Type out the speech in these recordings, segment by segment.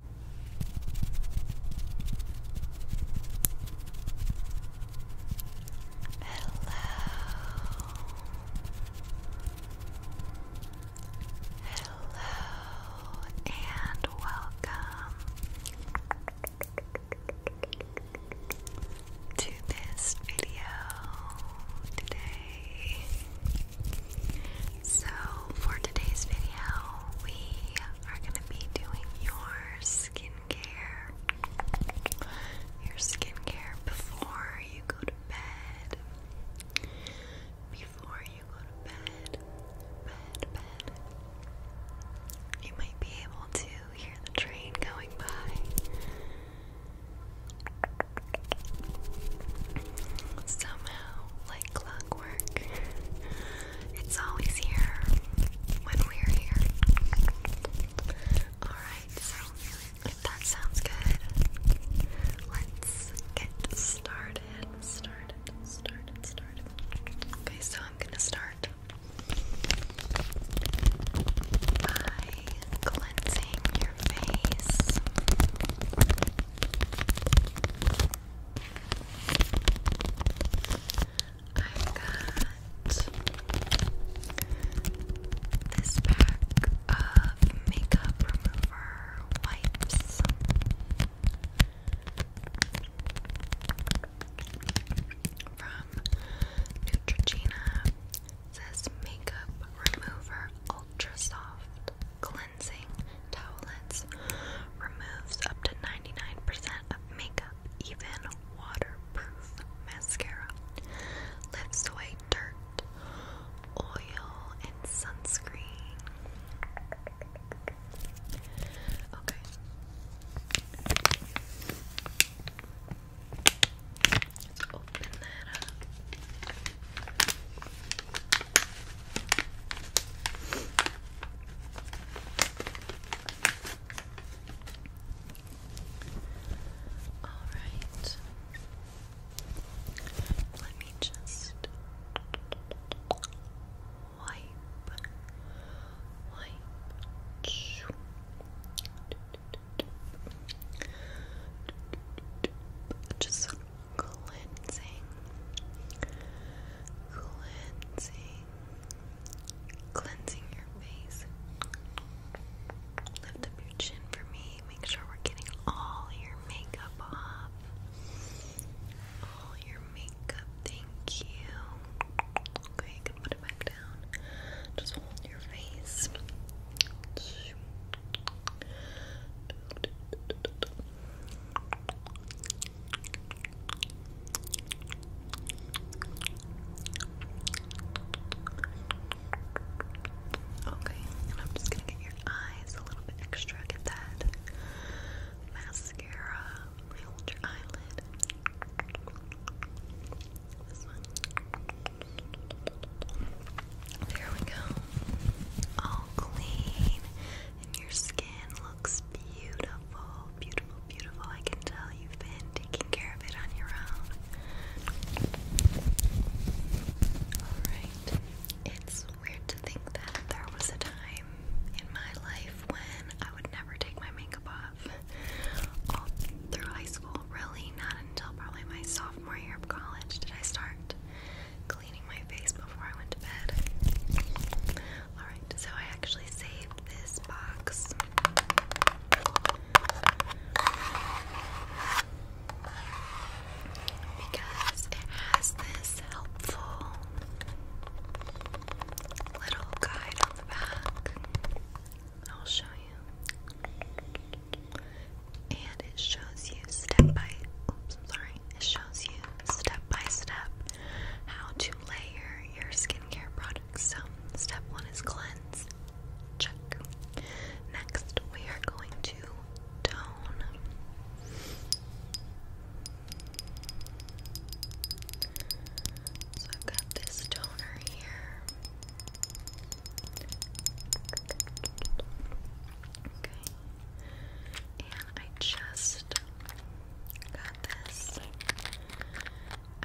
Hello and welcome to this video. Today so, for today's video, we are going to be doing your skincare. Your skincare before you go to bed. Before you go to bed, bed, bed. You might be able to hear the train going by. Somehow, like clockwork. It's always here when we're here. Alright, so that sounds good, let's get started. Okay, so I'm gonna start by cleansing your face. I got this pack of makeup remover wipes. From Neutrogena, says makeup remover ultra soft cleanse cleansing Removes up to 99% of makeup, even waterproof mascara. Lifts away dirt, oil, and sunscreen. Okay. Let's open that up. All right. Let me just wipe, wipe. Just cleansing, cleansing, cleansing your face. Lift up your chin for me. Make sure we're getting all your makeup off. All your makeup, thank you. Okay, you can put it back down. Just hold your face food. Okay, and I'm just gonna get your eyes a little bit extra. Get that mascara. I hold eyelid. There we go. All clean. And your skin looks beautiful. Beautiful, beautiful. I can tell you've been taking care of it on your own. Alright. It's weird to think that there was a time in my life when I would never take my makeup off. through high school, really, not until probably my sophomore year of college did I start cleaning my face before I went to bed. Alright, so I actually saved this box. Because it has this helpful little guide on the back. I'll show you and it shows you step by sorry, it shows you step by step how to layer your skincare products. So step one is cleanse. Next we are going to tone. So I've got this toner here. Okay. And I just got this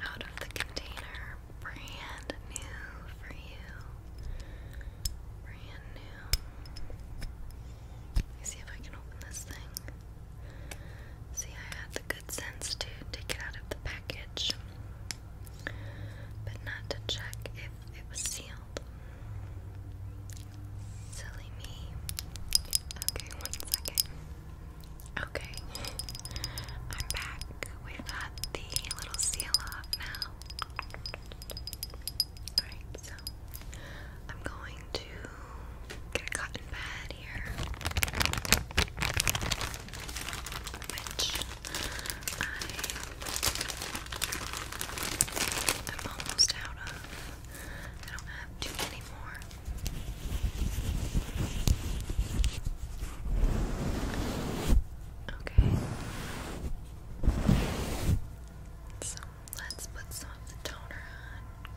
out of the container, brand new for you. Brand new. Let me see if I can open this thing. See, I had the good sense to take it out of the package but not to check if it was sealed. Silly me. Okay, one second. Okay, I'm back. we the little seal off now. Alright, so I'm going to get a cotton pad here, which I I'm almost out of. I don't have too many more. Okay. So let's put some toner on.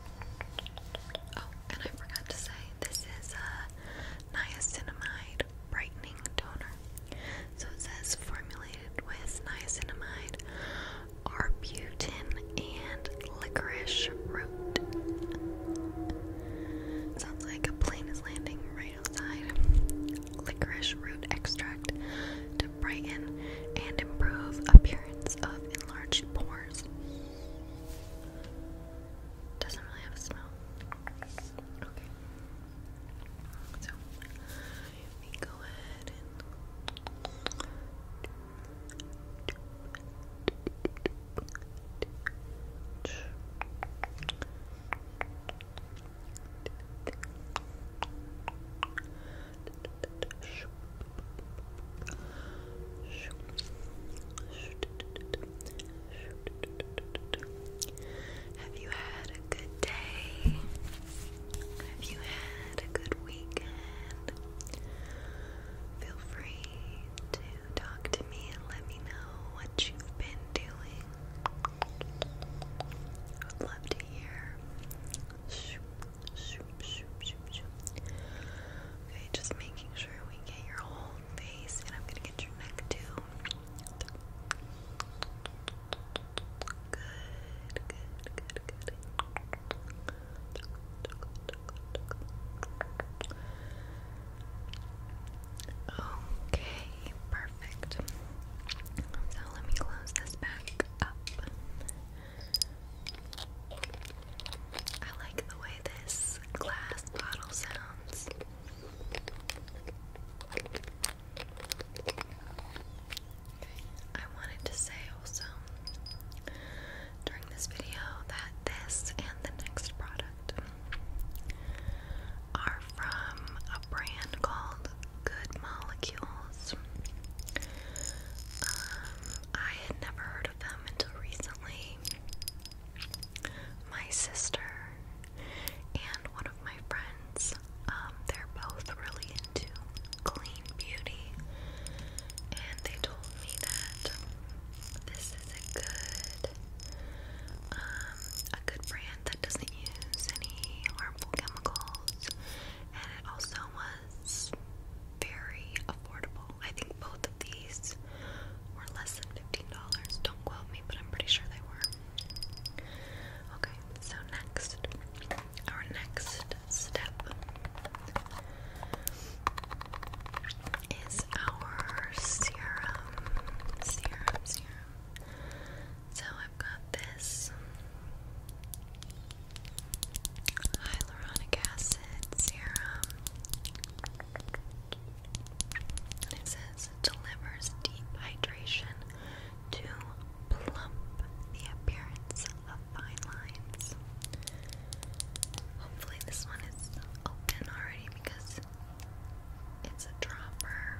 Oh, and I forgot to say this is a uh, niacinamide brightening toner. So it says formulated with niacinamide, arbutin, and licorice root. Sounds like a plane is landing right outside. Licorice root extract to brighten and improve appearance of enlarged pores. Doesn't really have a smell. Okay. So we go ahead and have you had a good day? Have you had a good weekend? Feel free to talk to me and let me know what you've been doing. I would love to hear. Okay, just making sure we get your whole face, and I'm gonna get your neck too. Good, good, good, good. Okay, perfect. So let me close this back up. I like the way this glass bottle sounds. I wanted to say also during this video that this and the next product are from a brand called Good Molecules. Um, I had never heard of them until recently. My sister and one of my friends. Um, they're both really into clean beauty, and they told me that this is a good, um, a good brand that doesn't use any harmful chemicals, and it also was very affordable. I think both of these were less than $15. Don't quote me, but I'm pretty sure they were. Okay, so next, our next step is our serum. Serum, serum. So I've got this hyaluronic acid serum it says delivers deep hydration to plump the appearance of fine lines. Hopefully this one is open already because it's a dropper.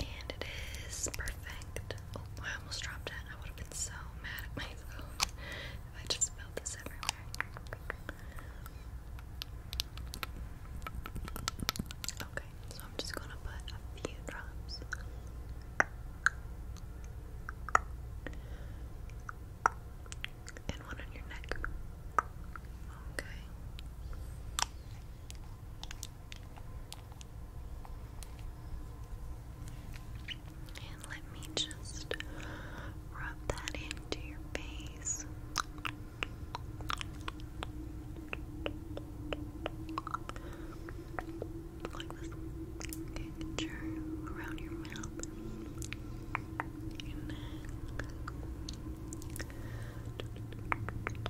And it is perfect. Oh, I almost dropped it. I would have been so mad at myself if I just spilled this everywhere. Okay, so I'm just gonna put a few drops. And one on your neck. Okay. And let me just rub that into your face. Like this. Okay, around your mouth. Your neck.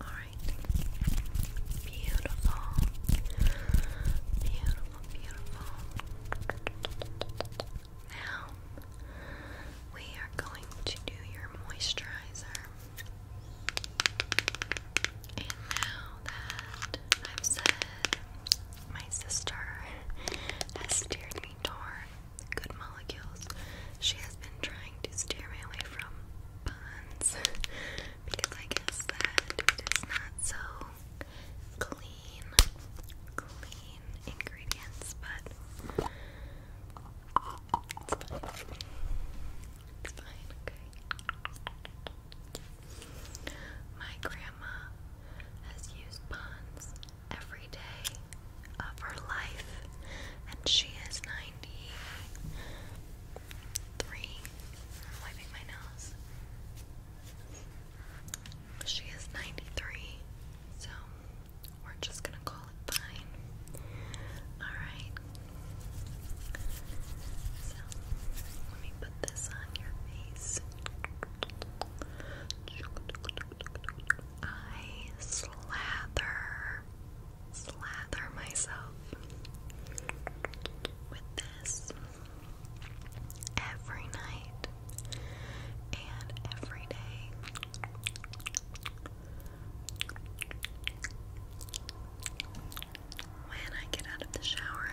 All right. Beautiful. Beautiful, beautiful. Now we are going to do your moisturizer. And now that I've said my sister has steered me toward good molecules. She has been trying to steer me away from bonds because I guess that it is not so clean, clean ingredients, but it's fine. It's fine, okay. My grandma has used ponds every day of her life, and she is 93. I'm wiping my nose. She is 93, so we're just gonna call it fine. Alright. So, let me put this on your face. I slather, slather myself with this every night and every day. When I get out of the shower,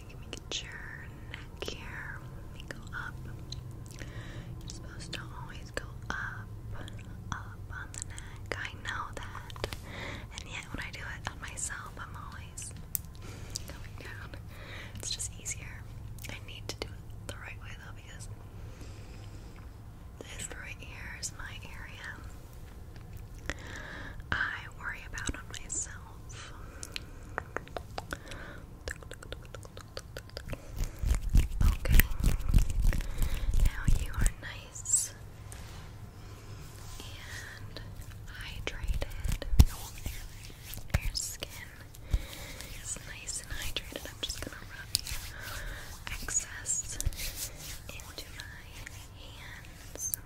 making me neck here. Let me go up. You're supposed to always go up, up on the neck. I know that. And yet, when I do it on myself, I'm always going down. It's just easier. I need to do it the right way though, because this right here is my area. I worry about on myself. Okay. Now you are nice and hydrated. Your skin is nice and hydrated. I'm just gonna rub your excess into my hands.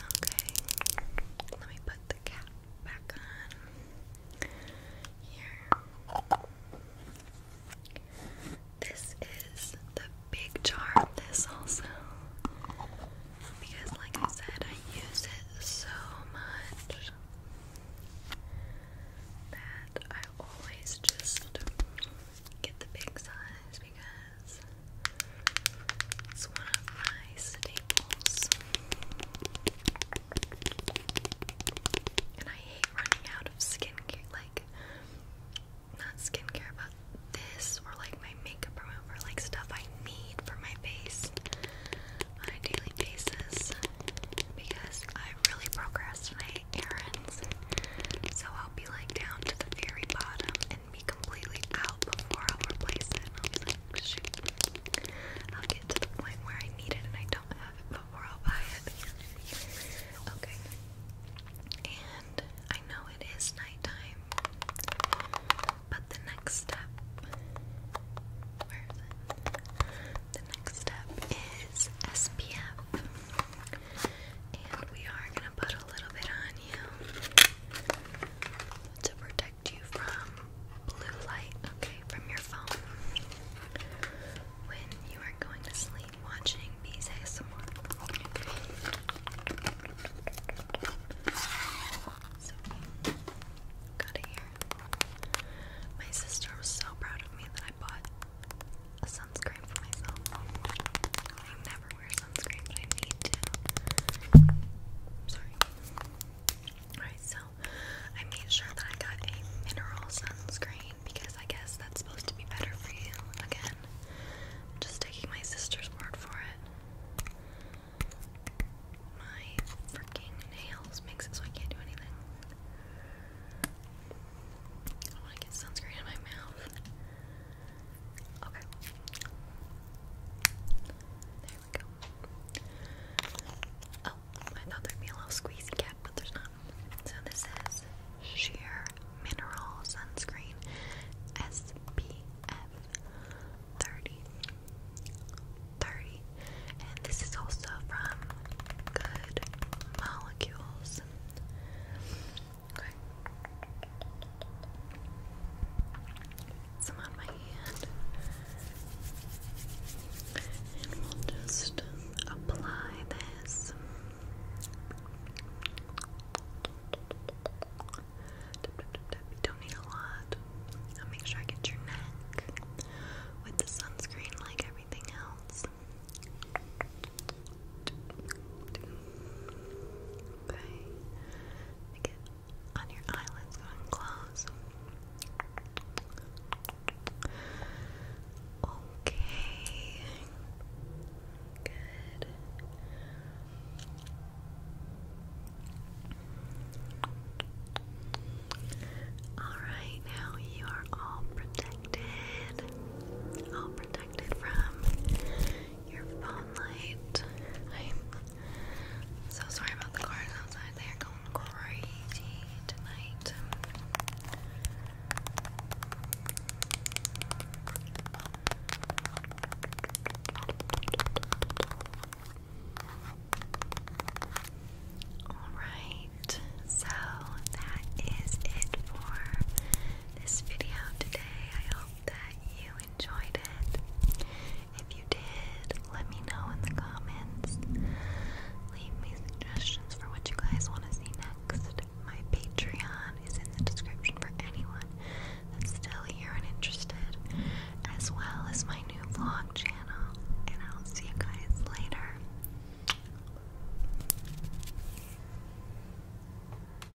Okay. Let me put the cap back on here. This is the big jar this also because like I said I use it so much that I always just get the big size because it's one of my staples. And I hate running out of skincare, like, not skincare, but this, or like my makeup remover, like stuff I need for my face on a daily basis because I really procrastinate errands. So I'll be like down to the very bottom be completely out before I'll replace it. I will get to the point where I need it and I don't have it before I'll buy it. Okay. And I know it is nighttime, but the next step. The next step is SPF. And we are going to put a little bit on you to protect protect you from blue light, okay, from your phone. When you are going to sleep watching Bees ASMR. So, got it here. My sister was so proud of me that I bought a sunscreen for myself. I never wear sunscreen, but I need to. Sorry. Alright, so I made sure that I got a mineral sunscreen because I guess that's supposed to be better for you. Again, just taking my sister's word for it. My freaking nails makes it so I can't do anything. I want to get sunscreen in my mouth. Okay. There we go. Oh, I thought there'd be a little squeezy cap, but there's not. So this is Sheer Mineral Sunscreen SPF 30. And this is also from Good Molecules. Okay some on my hand and we'll just apply this you don't need a lot I'll make sure I get your neck with the sunscreen like everything else Okay on your eyelids, go close. Okay. Good. Alright, now you are all protected. All protected from your phone light. I'm so sorry about the cars outside. They are going crazy tonight. Alright, so that is it for this video today. I hope hope that you enjoyed it. If you did, let me know in the comments. Leave me suggestions for what you guys want to see next. My Patreon is in the description for anyone that's still here and interested, as well as my new vlog channel. And I'll see you guys later.